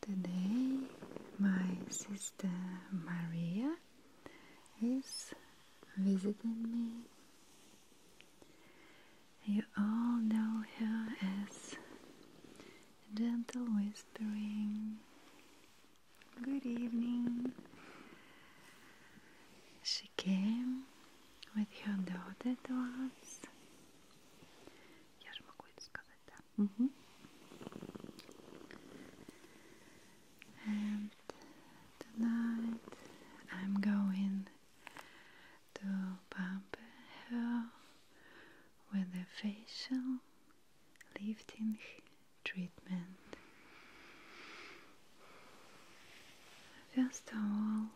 Today, my sister Maria is visiting me. You all know her as Gentle Whispering. Good evening. She came with her daughter to us. Mm -hmm. And tonight I'm going to pamper her with a facial lifting treatment. First of all,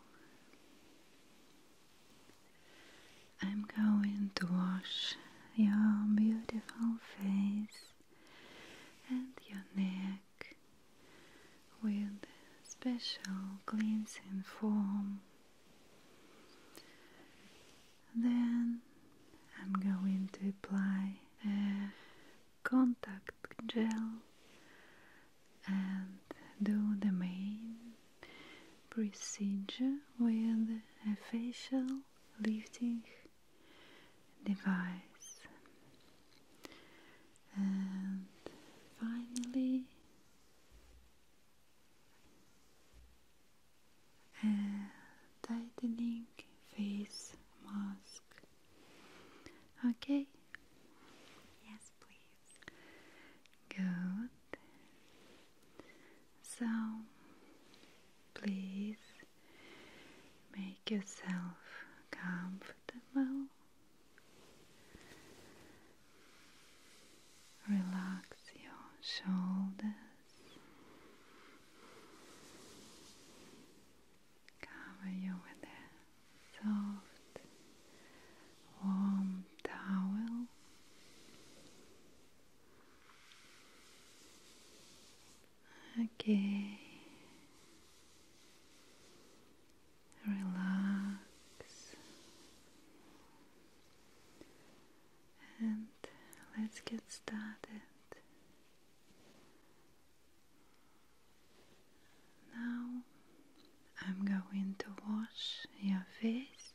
I'm going to wash your beautiful face and your neck with special cleansing foam. Then I'm going to apply a contact gel and do the main procedure with a facial lifting device and finally a tightening face mask. Okay? Yes, please. Good. So please make yourself comfortable. Relax your shoulders. Cover you with a soft, warm towel. Okay. Relax. And let's get started. Now I'm going to wash your face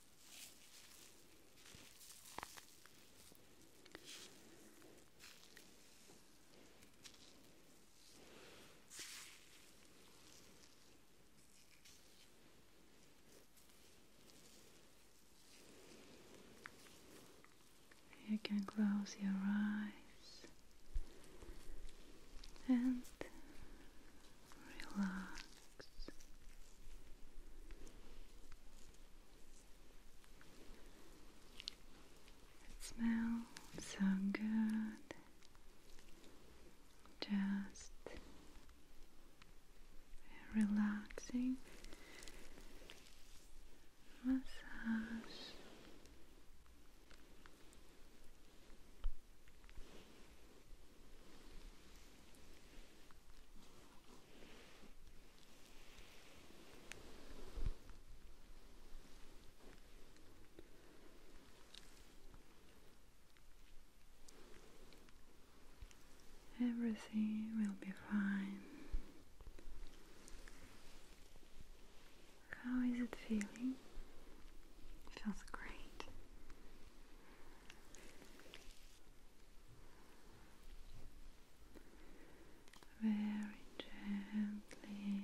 You can close your eyes and relax. It smells so good. Just relaxing massage. Everything will be fine. How is it feeling? It feels great very gently.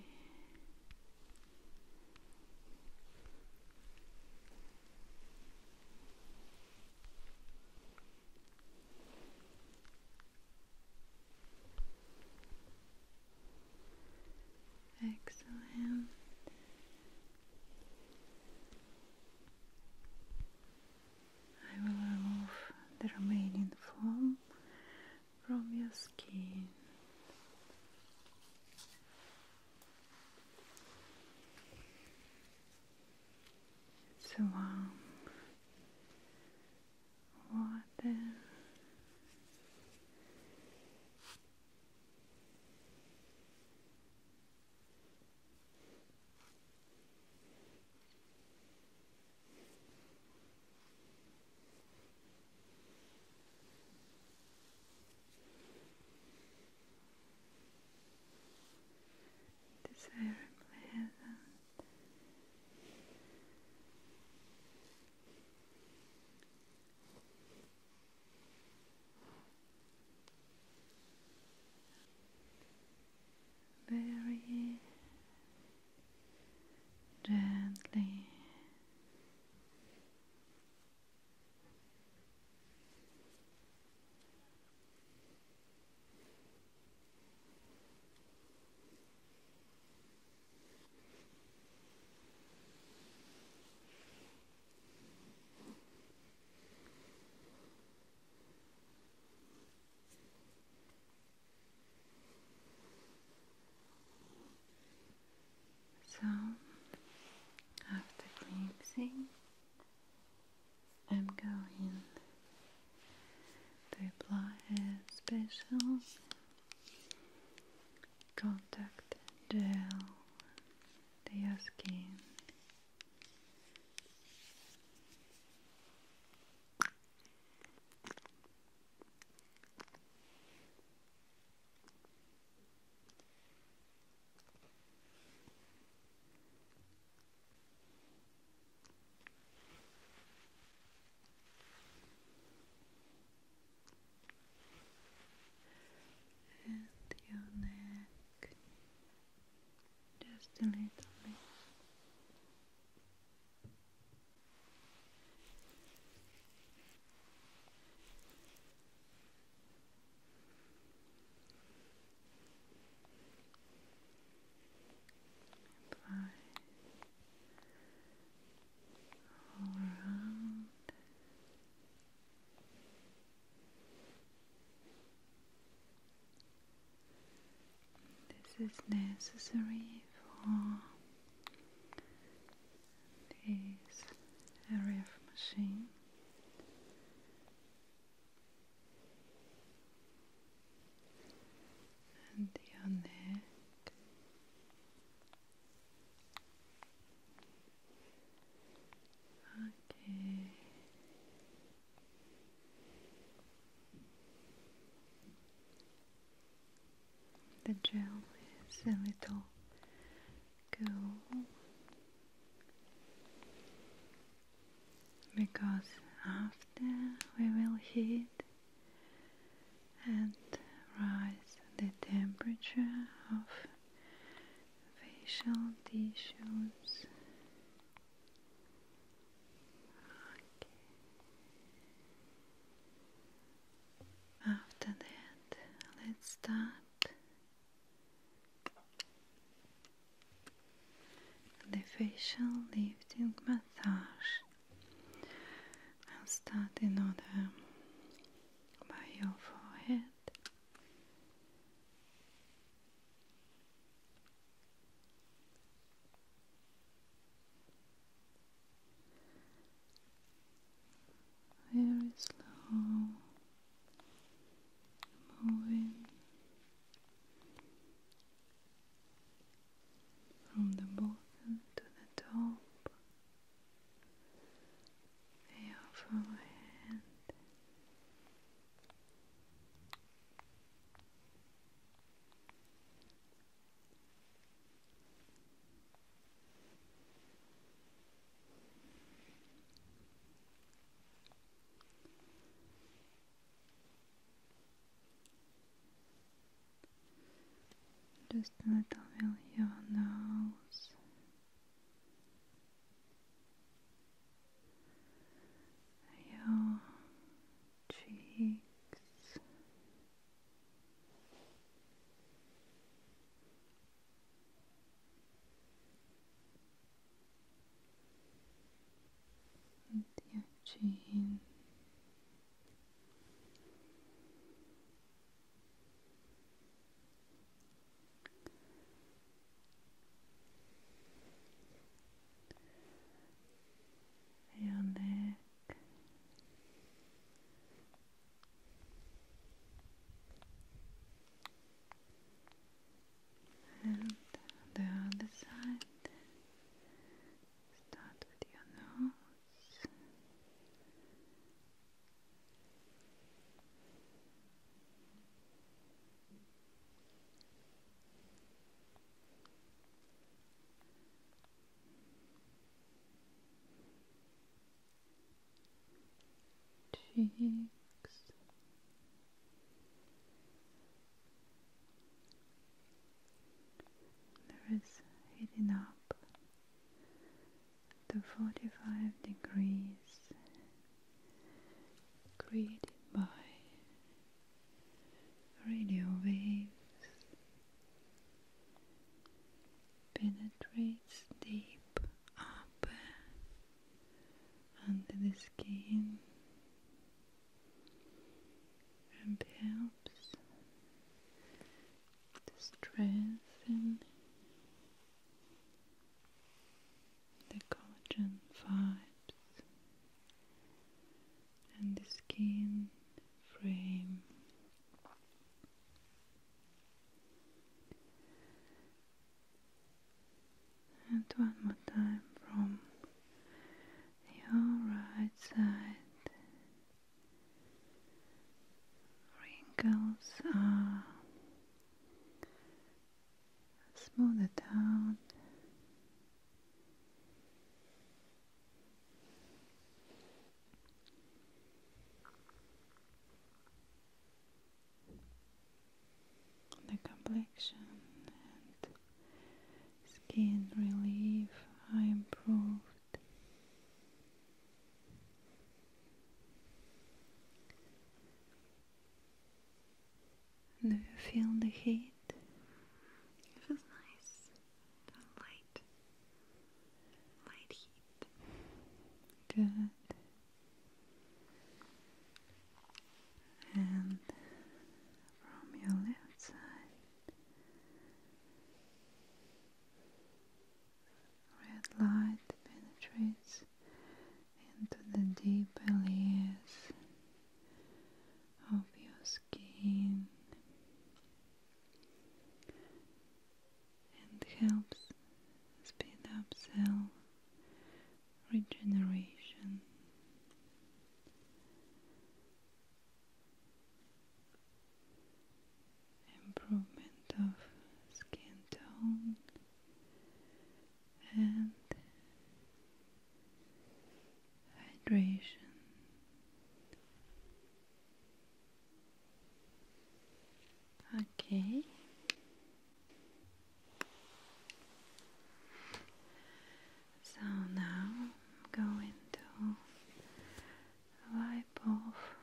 Excellent. I will remove the remaining foam from your skin. warm water Desirably heaven very gently. So, after cleansing, I'm going to apply a special contact gel they ask skin and your neck just a little bit. around this is necessary for this area of machine. And your neck, Okay. The gel is a little cool because after we will heat and rise the temperature of facial tissues. After that, let's start the facial lifting massage. I'll start in order by your forehead. Very slow moving from the bottom to the top your forehead. Just a little bit your nose your cheeks. your chin, your neck. And the other side. Start with your nose cheeks there is heating the 45 degrees created by radio waves penetrates deep up under the skin and helps to strengthen the collagen fibers and the skin frame. And one more time from your right side Wrinkles are smoothed out. The complexion and skin relief are improved. Do you feel the heat? It feels nice. light, light heat. Good. And from your left side Red light penetrates into the deeper layers of your skin and helps speed up cell regeneration improvement of skin tone and hydration. Okay. So now going to wipe off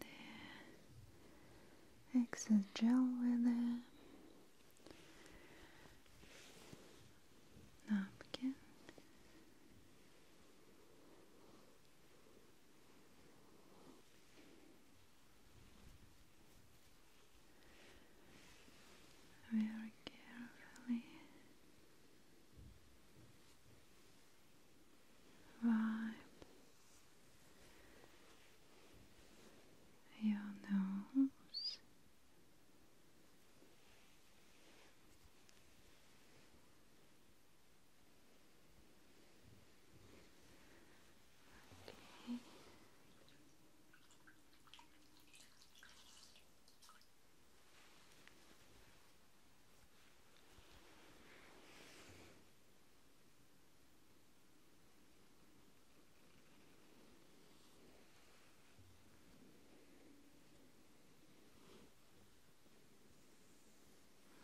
the excess gel with a napkin. Very carefully vibes, your nose. Okay.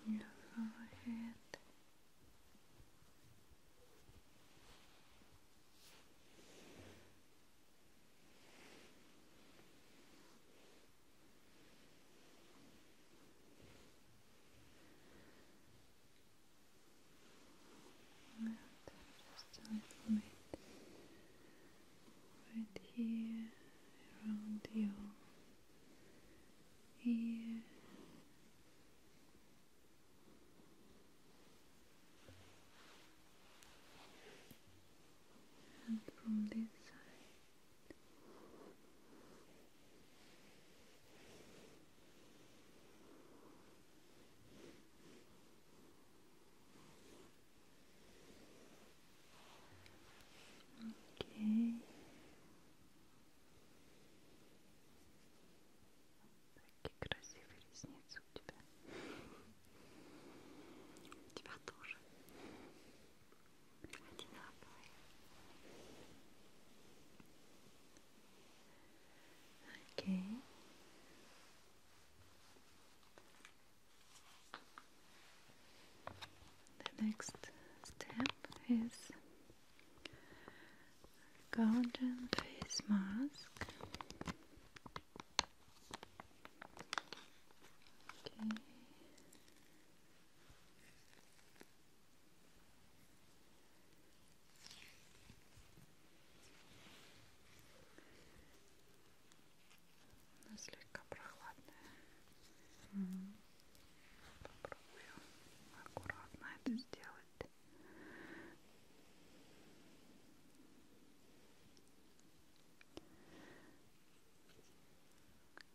Your forehead. Your and just a little bit right here around your ear. And from this side, Окей. Такие красивые ресницы у тебя. У тебя тоже. Okay. The next step is golden face mask. Okay. Она слегка прохладная. Mm -hmm. Попробую аккуратно это mm -hmm. сделать.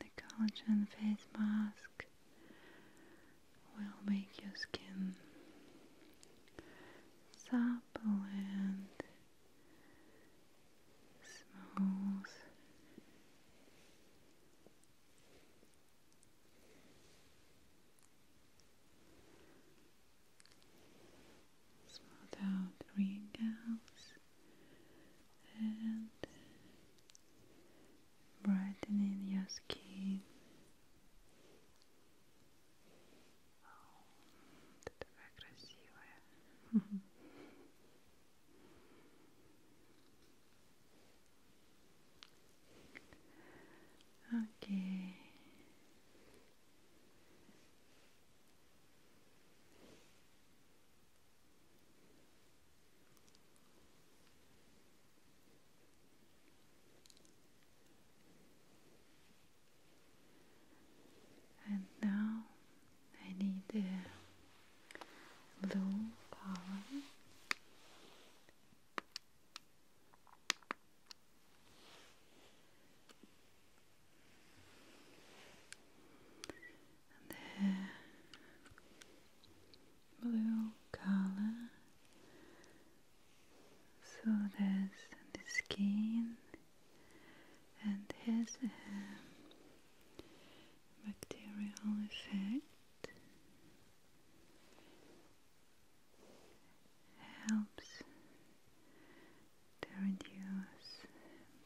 The collagen face mask will make your skin supple and smooth smooth out wrinkles and in your skin Okay. And now I need a blue color the blue color so there's the skin and has a um, bacterial effect helps to reduce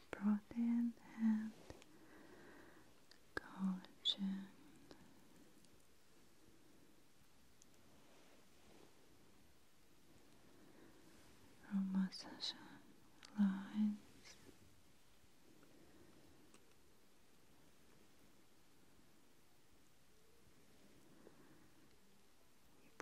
protein and collagen. From massage lines. It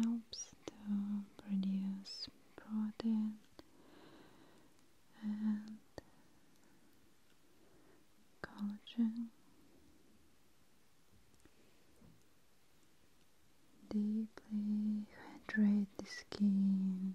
helps to produce protein and collagen. Deeply hydrate the skin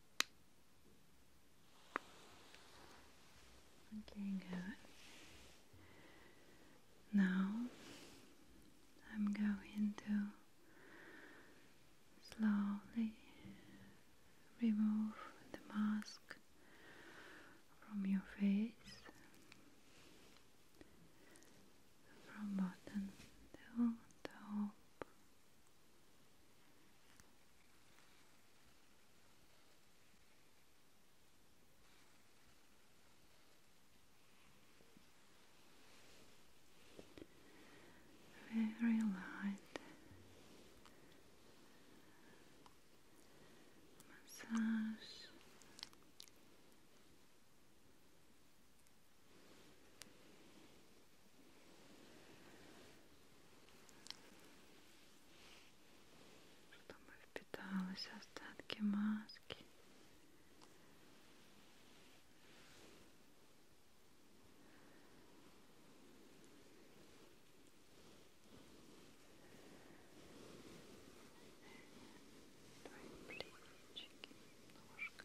Okay, good. Now I'm going to slowly remove the mask from your face from bottom to top. Very light massage. чтобы впиталось остатки маски. Твои плечики, ножка.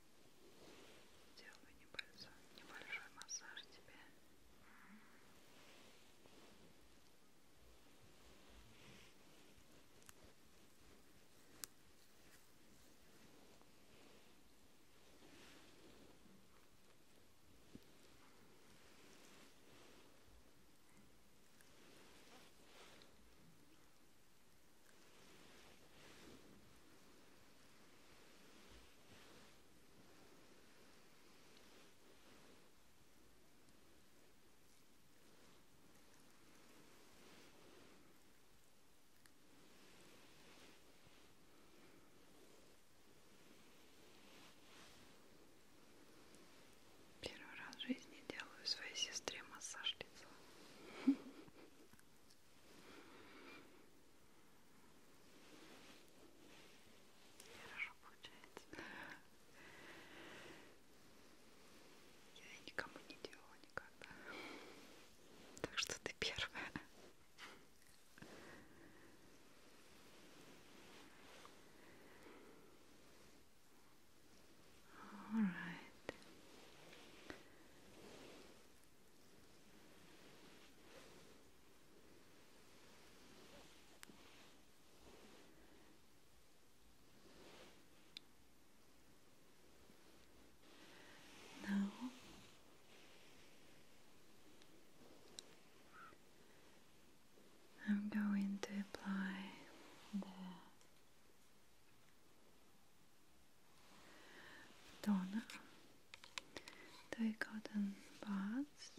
Делаю небольшой, небольшой массаж тебе. Хорошо. Первый раз в жизни делаю своей сестре массаж лица. Хорошо получается. Я никому не делала никогда. Так что ты первая. All right. Now I'm going to apply the Donna. They cotton buds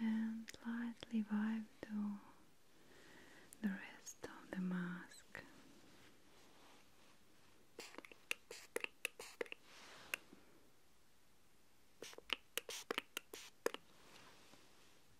and lightly vibe to the rest of the mask.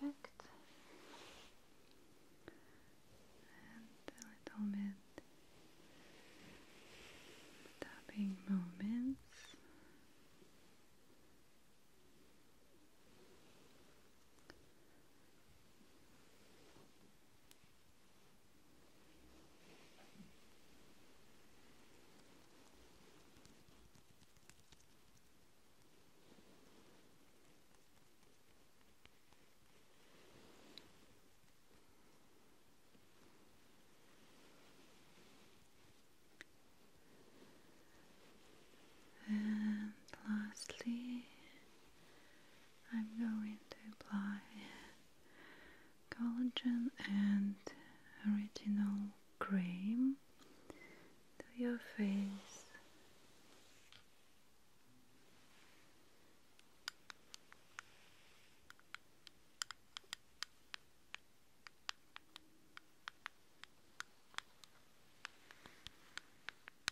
Perfect. And a little bit tapping movements. And lastly, I'm going to apply collagen and original cream to your face.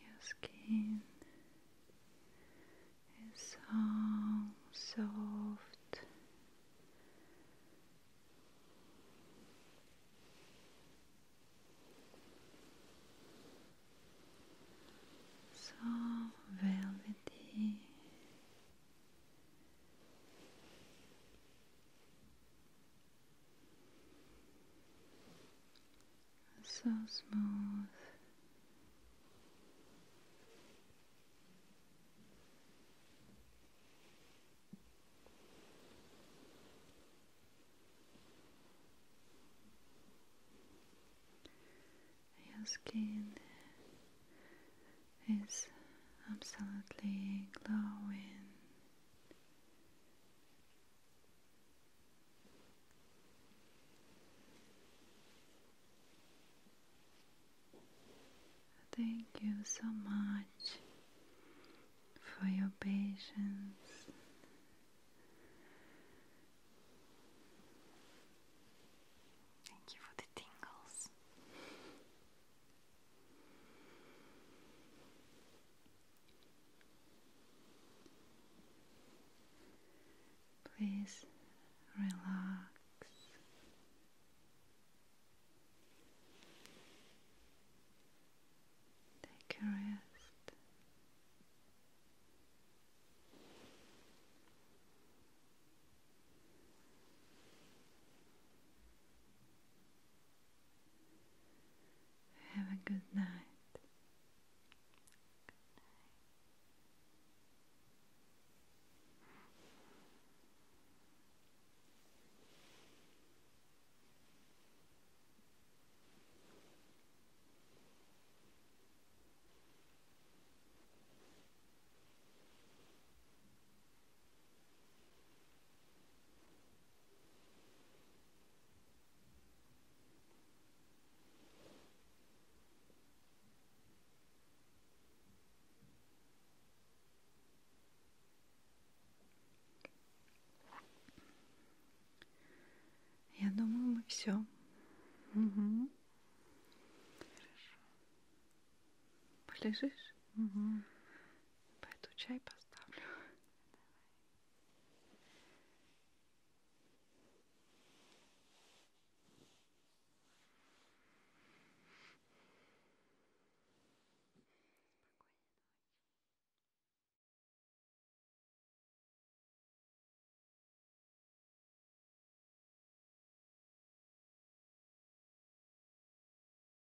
Your skin is so soft. So velvety so smooth. Your skin is absolutely glowing Thank you so much for your patience. Thank you for the tingles. Please relax. Take a rest. Have a good night. Я думаю, мы все. Угу. Хорошо. Полежишь? Угу. Пойду чай поставлю. Давай. Спокойной ночи.